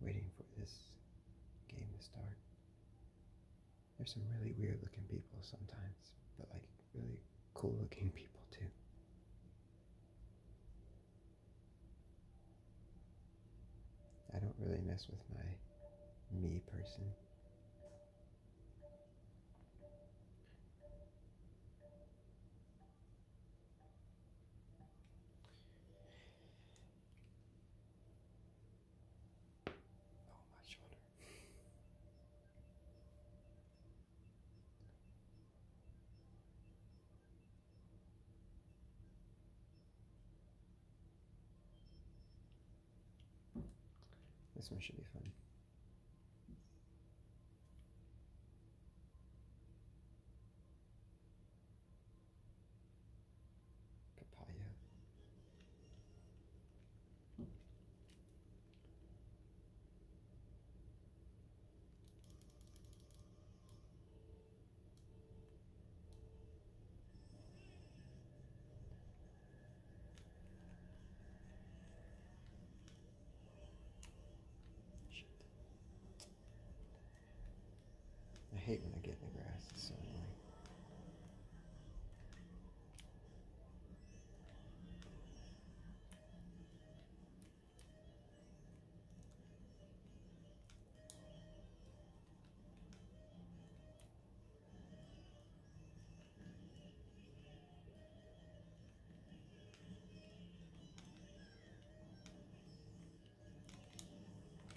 waiting for this game to start. There's some really weird looking people sometimes, but like really cool looking people too. I don't really mess with my me person. Oh, my shoulder. This one should be fun. Papaya. Shit. I hate when I get in the grass.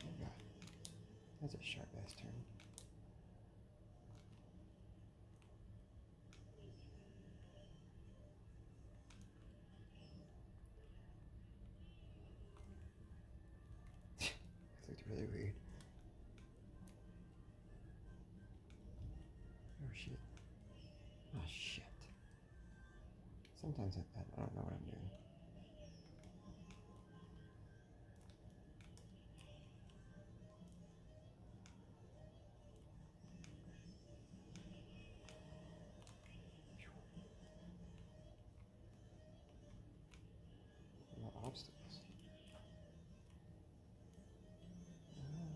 Oh god. That's a sharp ass turn. that looked really weird. Oh shit. Oh shit. Sometimes I, don't know what I'm doing. obstacles. Um,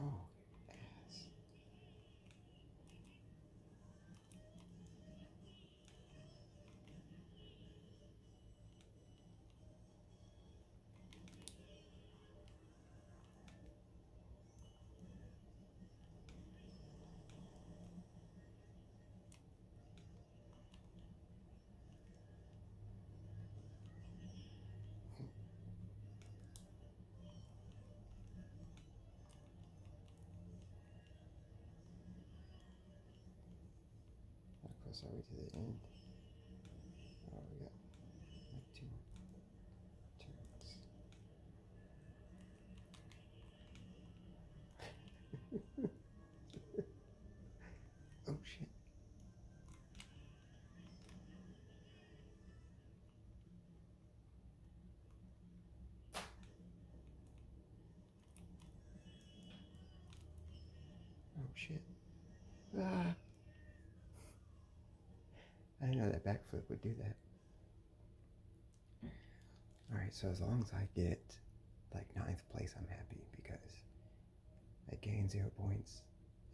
Oh, ass. Across our way to the end. Oh, we got like two more turns. oh shit. Oh shit. Ah. I didn't know that backflip would do that. Alright, so as long as I get like ninth place, I'm happy because I gain zero points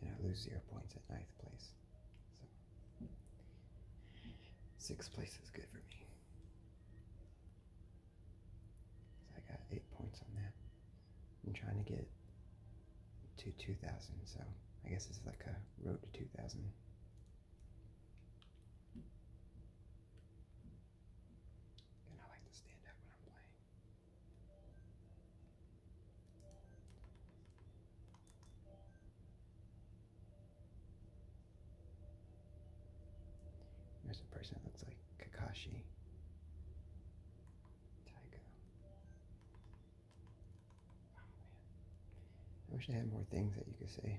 and I lose zero points at ninth place. So, sixth place is good for me. So I got eight points on that. I'm trying to get to 2,000, so I guess it's like a road to 2,000. And I like to stand up when I'm playing. There's a person that looks like Kakashi. Taiga. Oh man. I wish I had more things that you could say.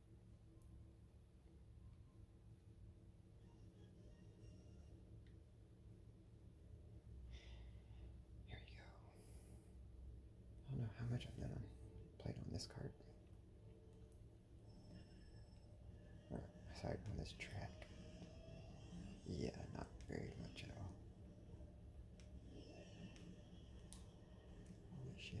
Here you go. I don't know how much I've done played on this card. Or sorry, on this track. Yeah, not very much at all. shit.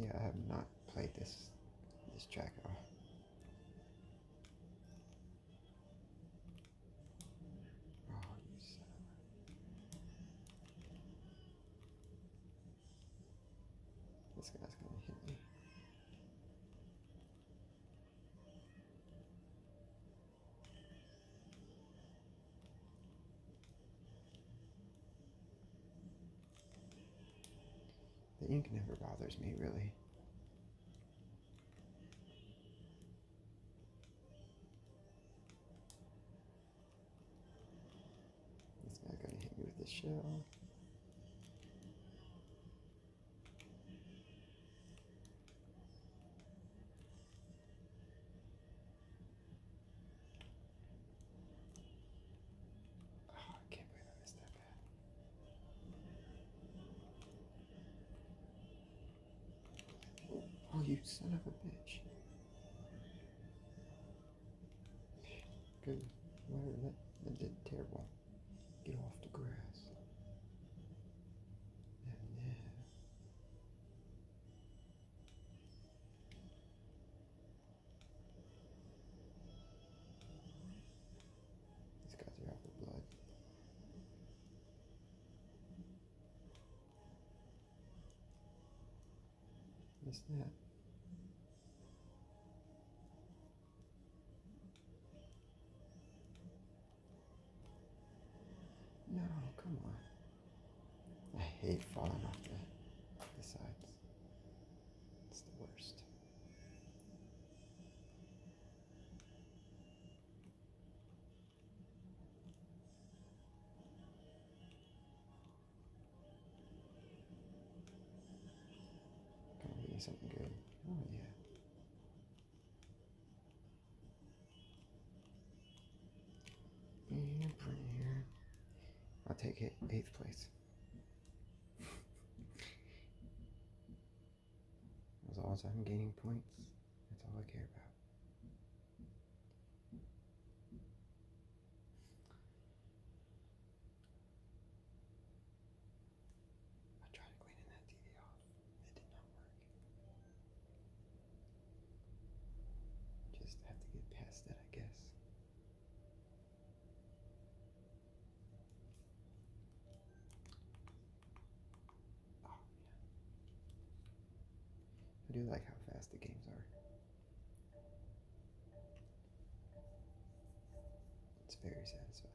Well, yeah, I have not played this this track this guy's gonna hit me. The ink never bothers me, really. This guy gonna hit me with the shell. Ah, oh, you son of a bitch. Good. Whatever that, that did terrible. Get off the grass. Yeah, yeah. These guys are out for blood. What's that? No, come on. I hate falling off the sides. It's the worst. Gotta give something good. Oh, yeah. Mm, I'll take it. Eighth place. As long as gaining points, that's all I care about. I tried cleaning that TV off. It did not work. Just have to get past that, I guess. Oh, yeah. I do like how fast the games are. It's very satisfying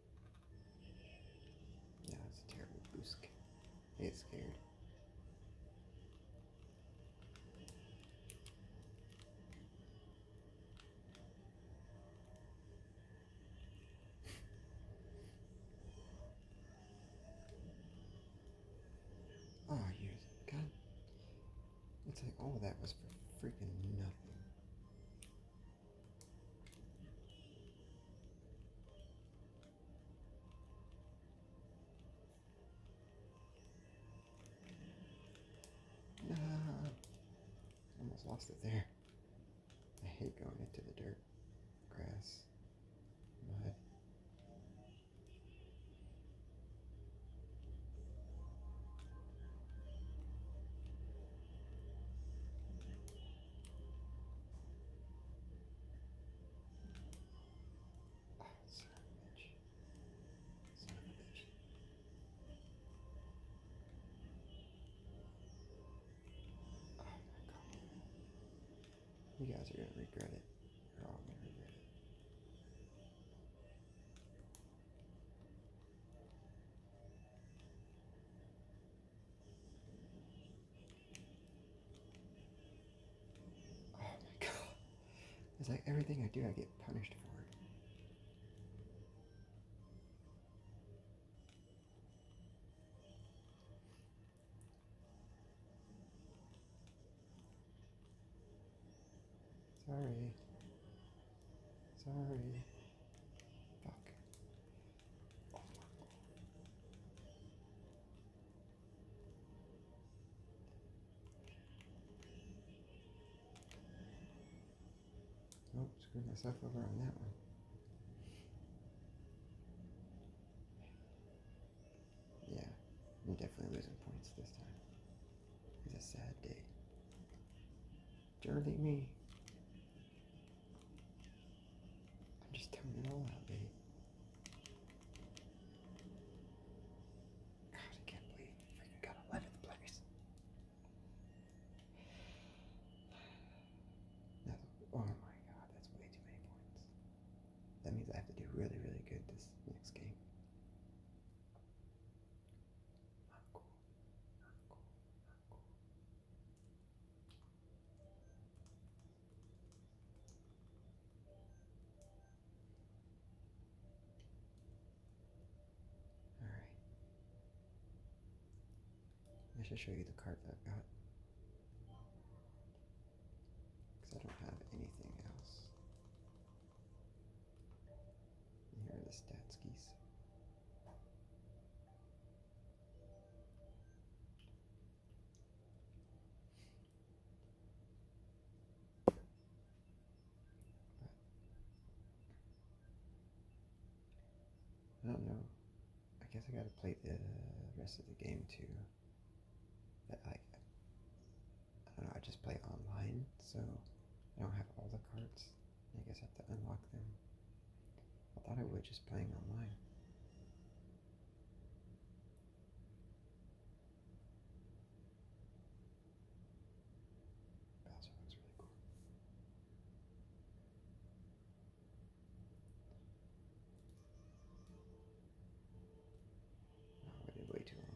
Yeah, that's a terrible boost. He's scared. oh, you God. It's like all that was for freaking nothing. Uh, almost lost it there. I hate going into the dirt, grass, you guys are gonna regret it. You're all gonna regret it. Oh my god. It's like everything I do, I get punished for. Sorry. Sorry. Fuck. Oh, screwed myself over on that one. Yeah, I'm definitely losing points this time. It's a sad day. Dirty me. I just don't know how they. God, I can't believe I got 11th place. oh my god, that's way too many points. That means I have to do really, really good this next game. Not cool. Not cool. Not cool. All right. I should show you the card that I got. Because I don't have anything else. here are the stats I don't know. I guess I gotta play the rest of the game too. But I, I don't know. I just play online, so I don't have all the cards. I guess I have to unlock them. I thought I would just playing online. Bowser looks really cool. I oh, waited way too long.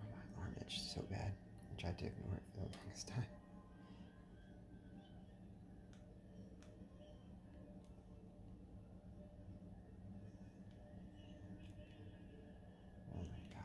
Oh, my arm itched so bad. I tried to ignore it for the longest time. Oh my god.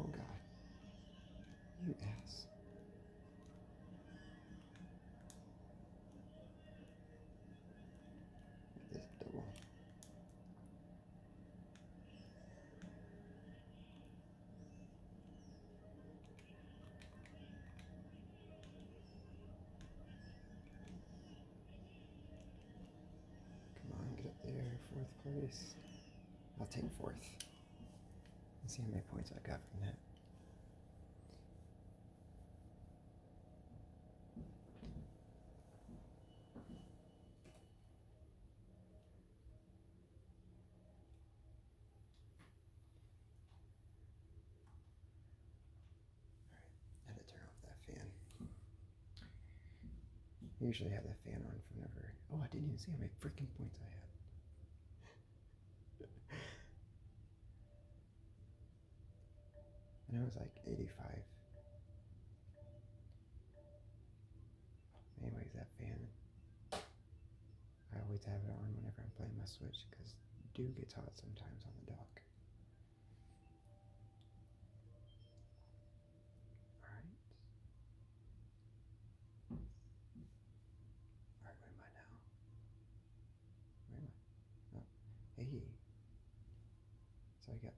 Oh God. You ass. This double. Come on, get up there. Fourth place. I'll take fourth. Let's see how many points I got from that. All right, I had to turn off that fan. usually have the fan on for never. Oh, I didn't even see how many freaking points I had. and I was like 85. Anyways, that fan I always have it on whenever I'm playing my Switch because it do gets hot sometimes on the dock. Alright. Alright, where am I now? Where am I? Oh, hey. So I got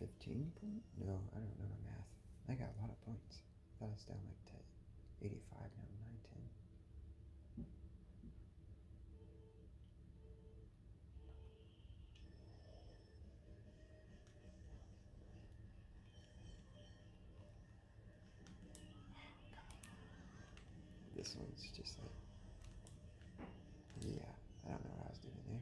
15 points? No, I don't know my math. I got a lot of points. I thought I was down like 10, 85, now 9, this one's just like, yeah, I don't know what I was doing there.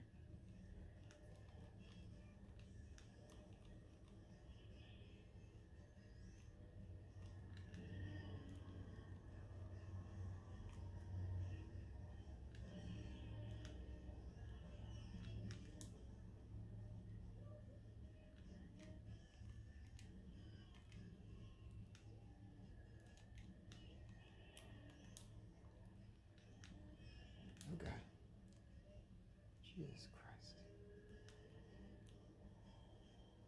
Okay. Jesus Christ.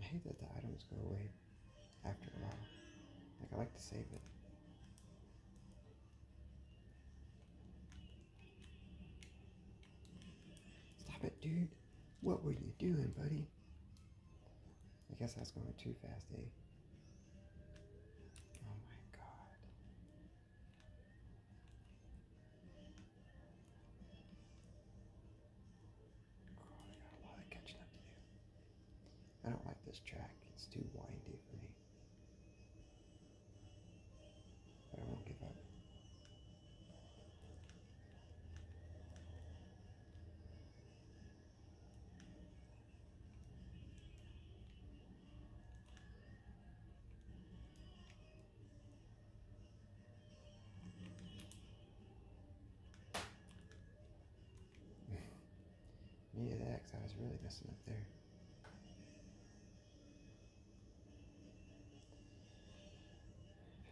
I hate that the items go away after a while. Like, I like to save it. Stop it, dude. What were you doing, buddy? I guess I was going too fast, eh? Oh my god. I got a lot of catching up to do. I don't like this track, it's too windy for me. But I won't give up. Me of I was really messing up there.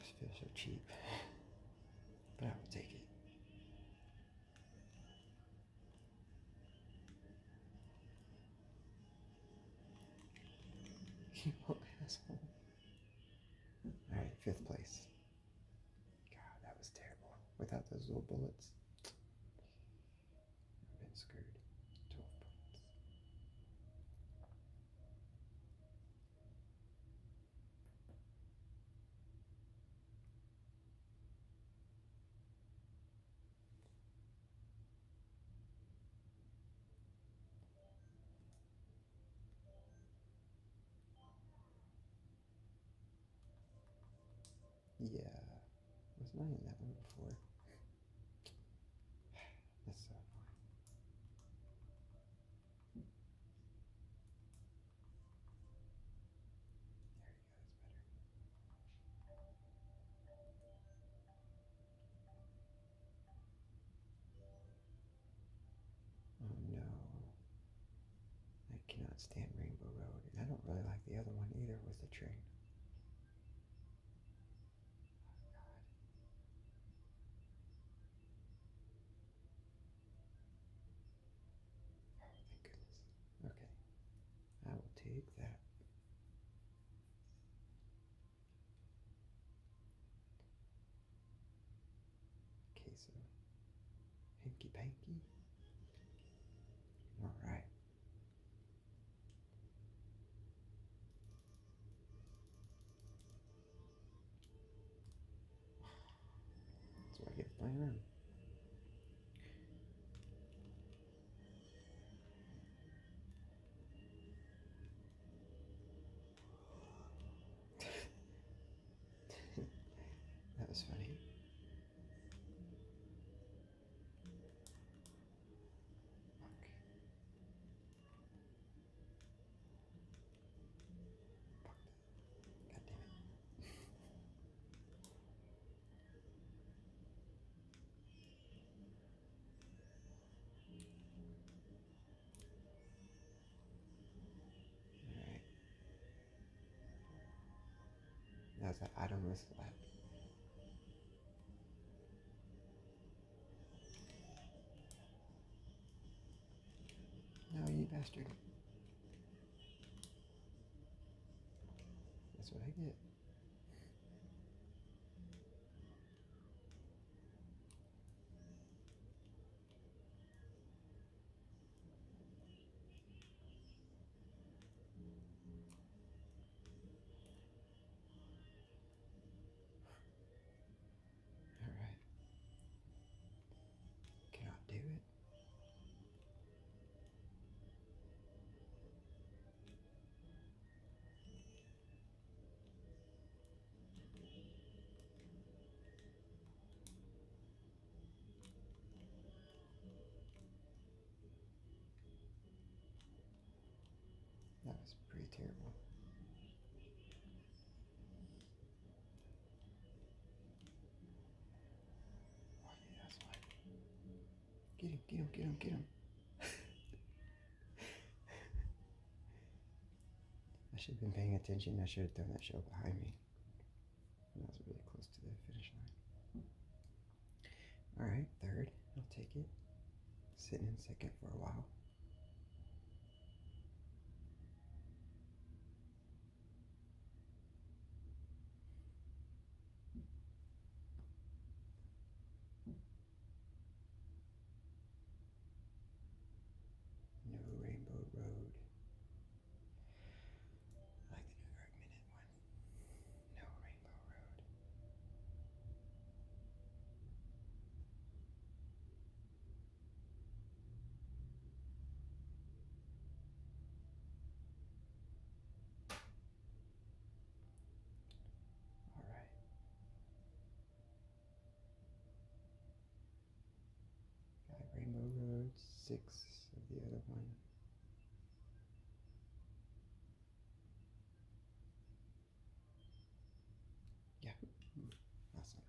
just feel so cheap. but I will take it. You little asshole. Alright, fifth place. God, that was terrible. Without those little bullets, I've been screwed. 12 points. Yeah, I was not in that one before. That's There you go, Oh no. I cannot stand Rainbow Road. And I don't really like the other one either with the train. Oh god. goodness. Okay. I will take that. Okay, so hanky panky. All right. That's I get my that was funny. Fuck. God damn it. Alright. That's an item is left. No, you bastard. That's what I get. All right. Can I do it? That was pretty terrible. Oh yeah, that's fine. Get him, get him, get him, get him. I should have been paying attention. I should have done that show behind me. that was really close to the finish line. Alright, third. I'll take it. Sitting in second for a while. No Rainbow Road. I like the Minute one. No Rainbow Road. All right. Rainbow Road, six of the other one. Yeah, awesome.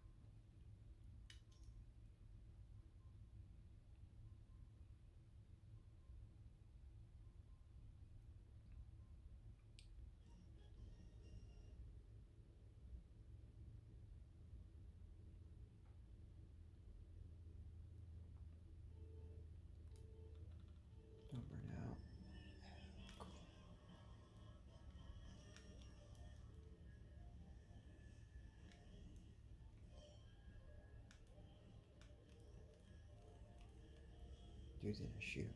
Don't burn out using a shit.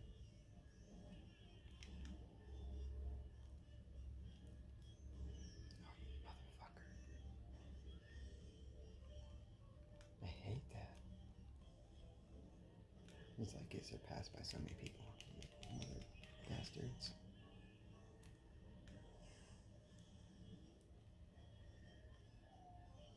I hate that. It's like it's surpassed by so many people. bastards.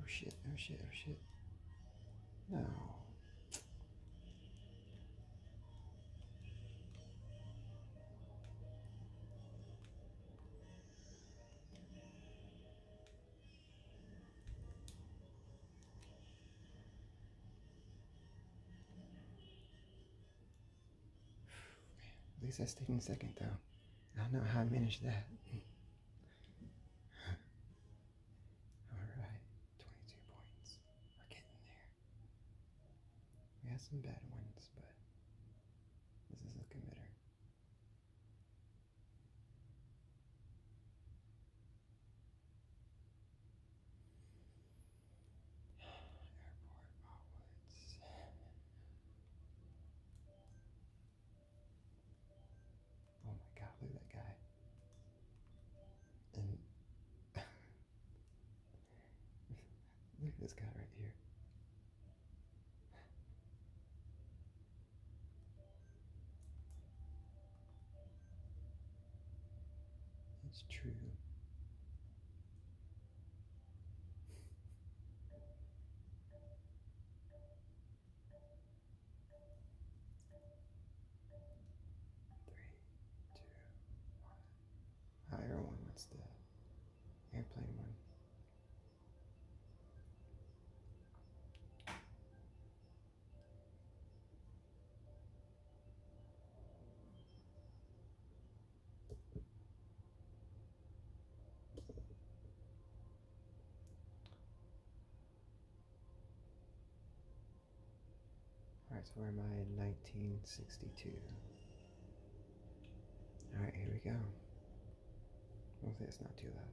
Oh shit, oh shit, oh shit. No. At least I stayed in second, though. I don't know how I managed that. Alright, 22 points. We're getting there. We had some bad ones, but this is looking better. Airport Oh my god, look at that guy. And look at this guy right here. That's true. Three, two, one. Higher one, what's the airplane one? Alright, so where am I in 1962? Alright, here we go. Hopefully it's not too loud.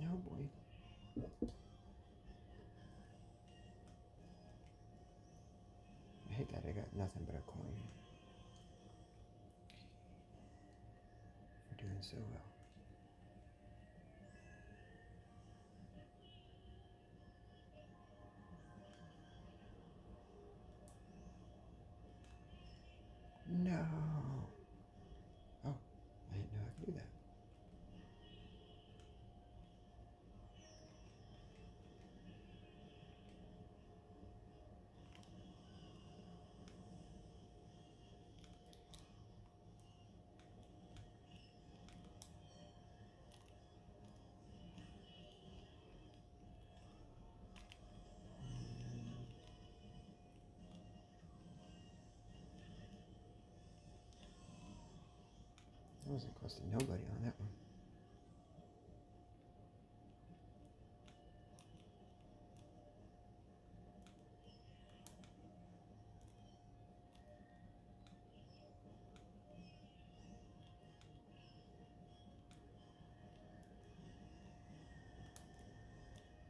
No boy. I hate that I got nothing but a coin. You're doing so well. No. Oh, I didn't know I could do that. I wasn't close to nobody on that one.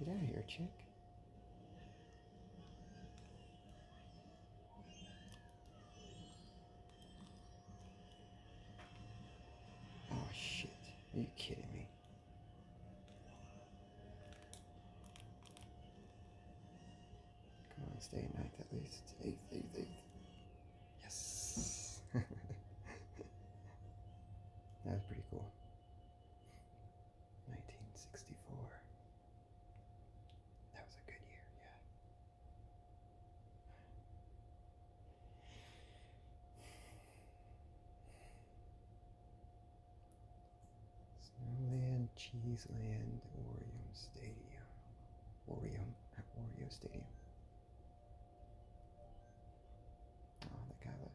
Get out here, chick. Oh, shit. Are you kidding me? Come on, stay at night at least. Eighth, eighth, Yes. that was pretty cool. 1964. That was a good year, yeah. Snowland, Cheeseland, Orium Stadium. Wario at Wario Stadium. Oh, ah, they got it.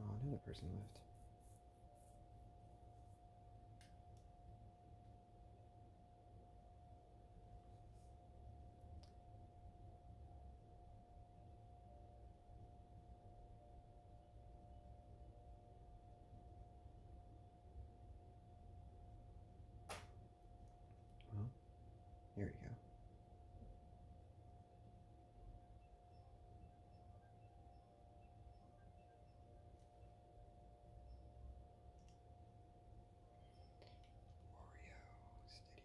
Oh, another person left. Well, here we go. Oreo Studio.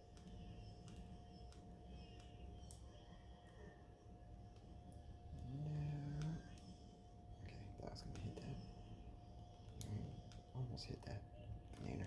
No. Okay, that gonna hit that. Almost hit that banana.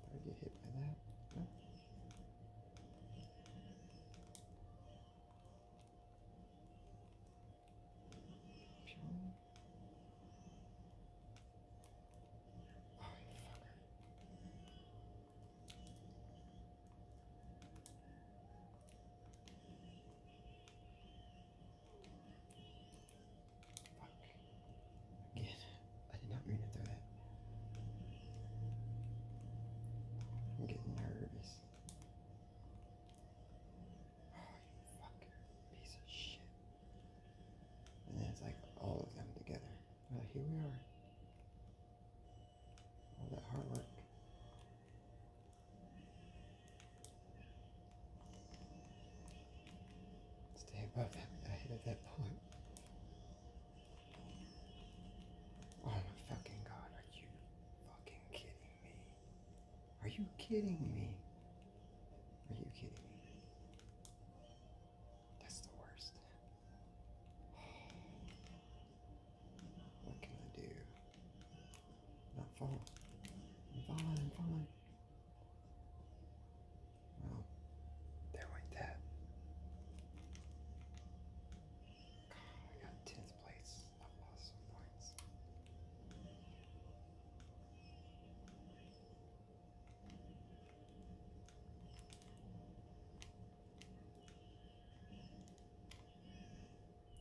Did I get hit by that? Oh, fucker. Again, I did not mean to throw I'm getting nervous. Oh, you piece of shit. And then it's like all of them together. Well, here we are. All that hard work. Stay above that, ahead of that point. Oh my fucking god, are you fucking kidding me? Are you kidding me? Are you kidding me? That's the worst. What can I do? not falling. I'm falling, I'm falling. Well, they're I got 10th place. i lost some points.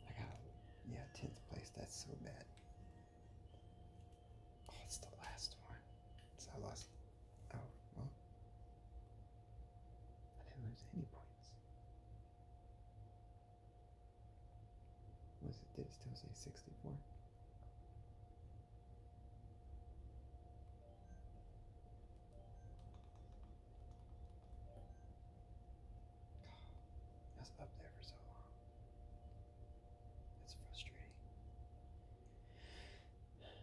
I got, yeah, 10th place. That's so bad. Oh, it's the last one. So I lost Oh, well. I didn't lose any points. Was it, did it still say 64? I up there for so long. It's frustrating.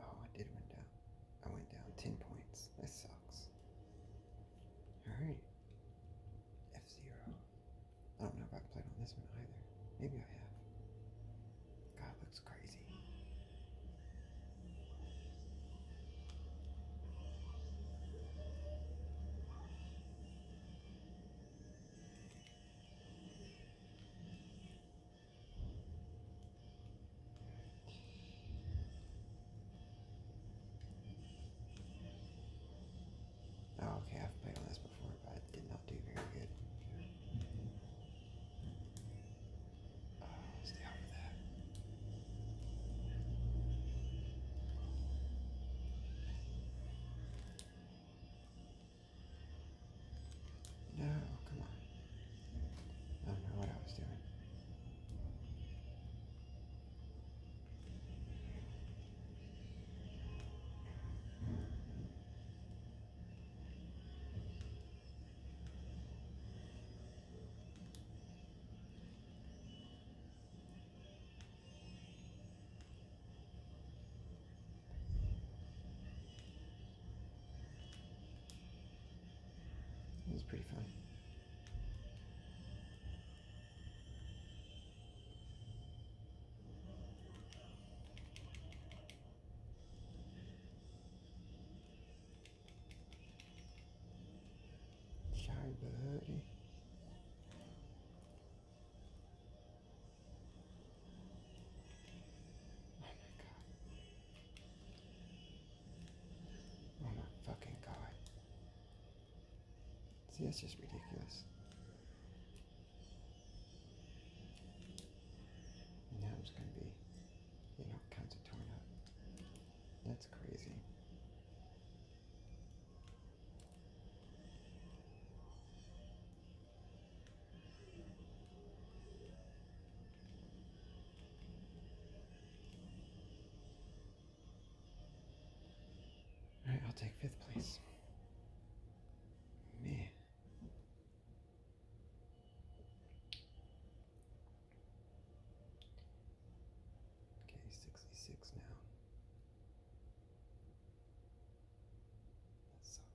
Oh, I did went down. I went down 10 points. That sucks. Alright. F Zero. I don't know if i played on this one either. Maybe I have. God, looks crazy. Oh, okay, I've played on this before, but I did not do very good. Uh, stay off of that. No, come on. I don't know what I was doing. It was pretty fun. Shy buddy. Uh, eh. Oh my god. Oh my fucking god. See, that's just ridiculous. now I'm just gonna be you know, kinds of torn up. That's crazy. Alright, I'll take fifth place. Man. Okay, 66 now. That sucks.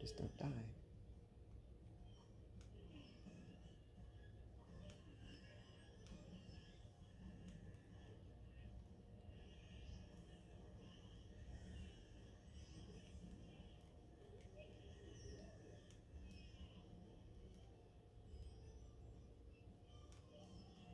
Just don't die.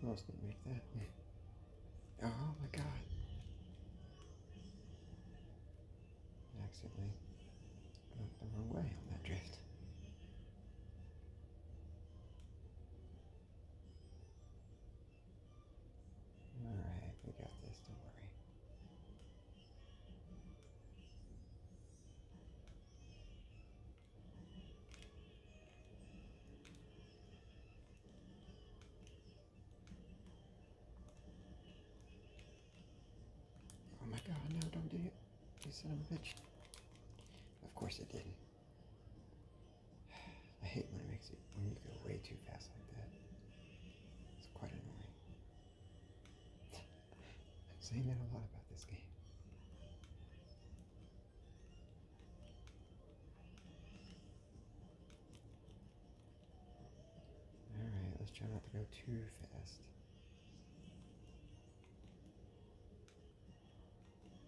I was make that. oh my god. accidentally went the wrong way on that drift. Alright, we got this, don't worry. Oh my god, no, don't do it. You son of a bitch. Of course I didn't. I hate when it makes it when you go way too fast like that. It's quite annoying. I'm saying that a lot about this game. Alright, let's try not to go too fast.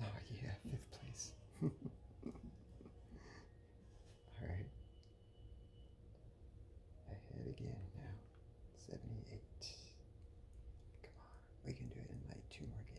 Oh yeah, fifth place. All right. Ahead again now. 78. Come on. We can do it in like two more games.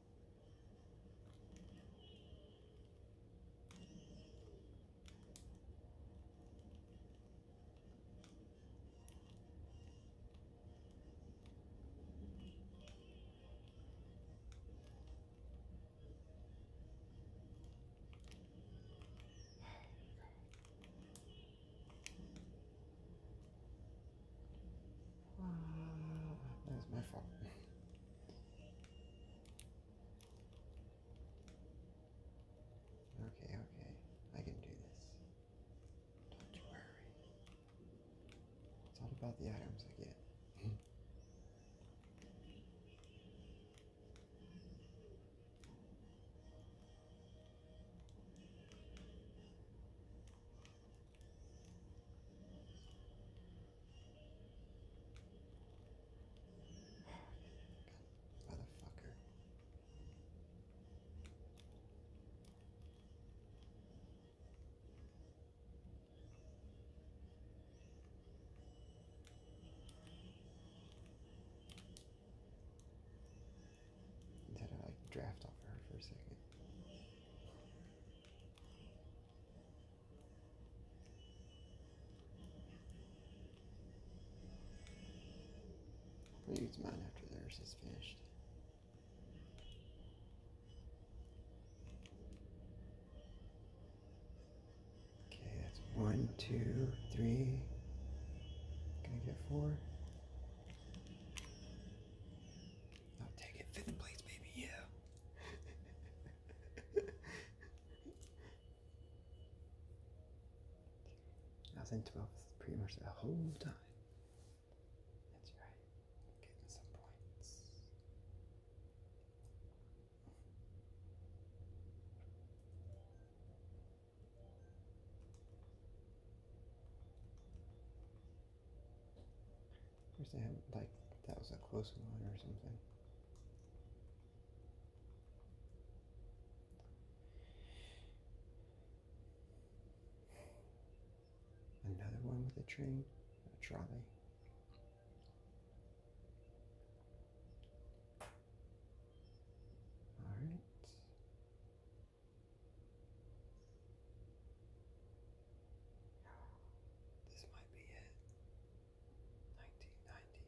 That's my fault. Okay, okay. I can do this. Don't you worry. It's all about the items I get. Motherfucker. Did I draft off her for a second? I'm use mine after theirs is finished. Okay, that's one, two, three. Can I get four? I'll take it. Fifth place, baby, yeah. I was in twelve pretty much the whole time. That's right. Getting some points. Of course, they have like that was a close one or something. Another one with a train, a trolley. All right. This might be it. 1990.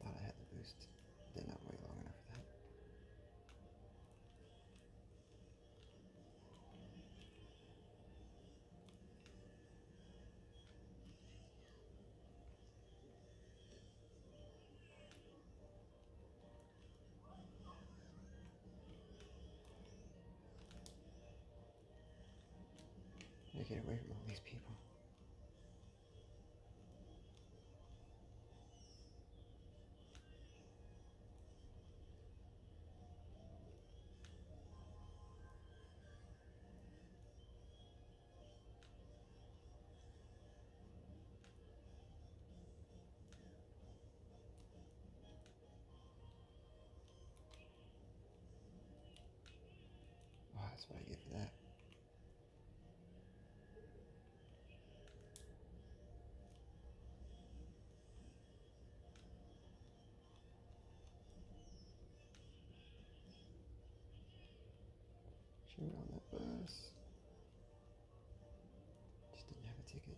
Thought I had the boost. Did not wait long enough for that. I get away from all these people. Oh, that's what I get for that. Shoot on that bus. Just didn't have a ticket.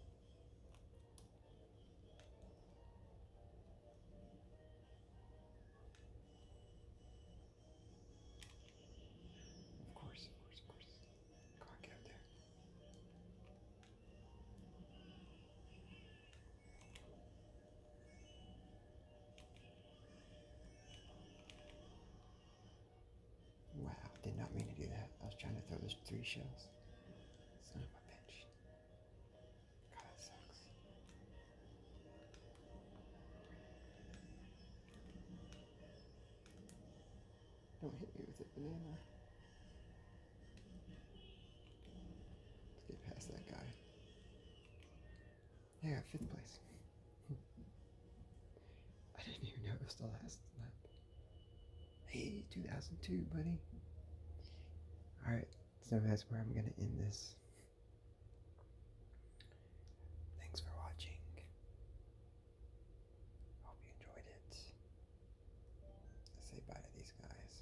Of course, of course, of course. Come on, get there. Wow, did not mean to do that. I was trying to throw those three shells. Son of a bitch. God, sucks. Don't hit me with it, banana. get past that guy. Yeah, fifth place. I didn't even know it was the last lap. Hey, 2002, buddy. Alright, so that's where I'm going to end this. Thanks for watching. Hope you enjoyed it. Let's say bye to these guys.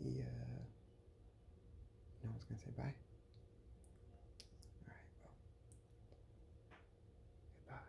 See ya. No one's gonna say bye. Alright, well. Goodbye.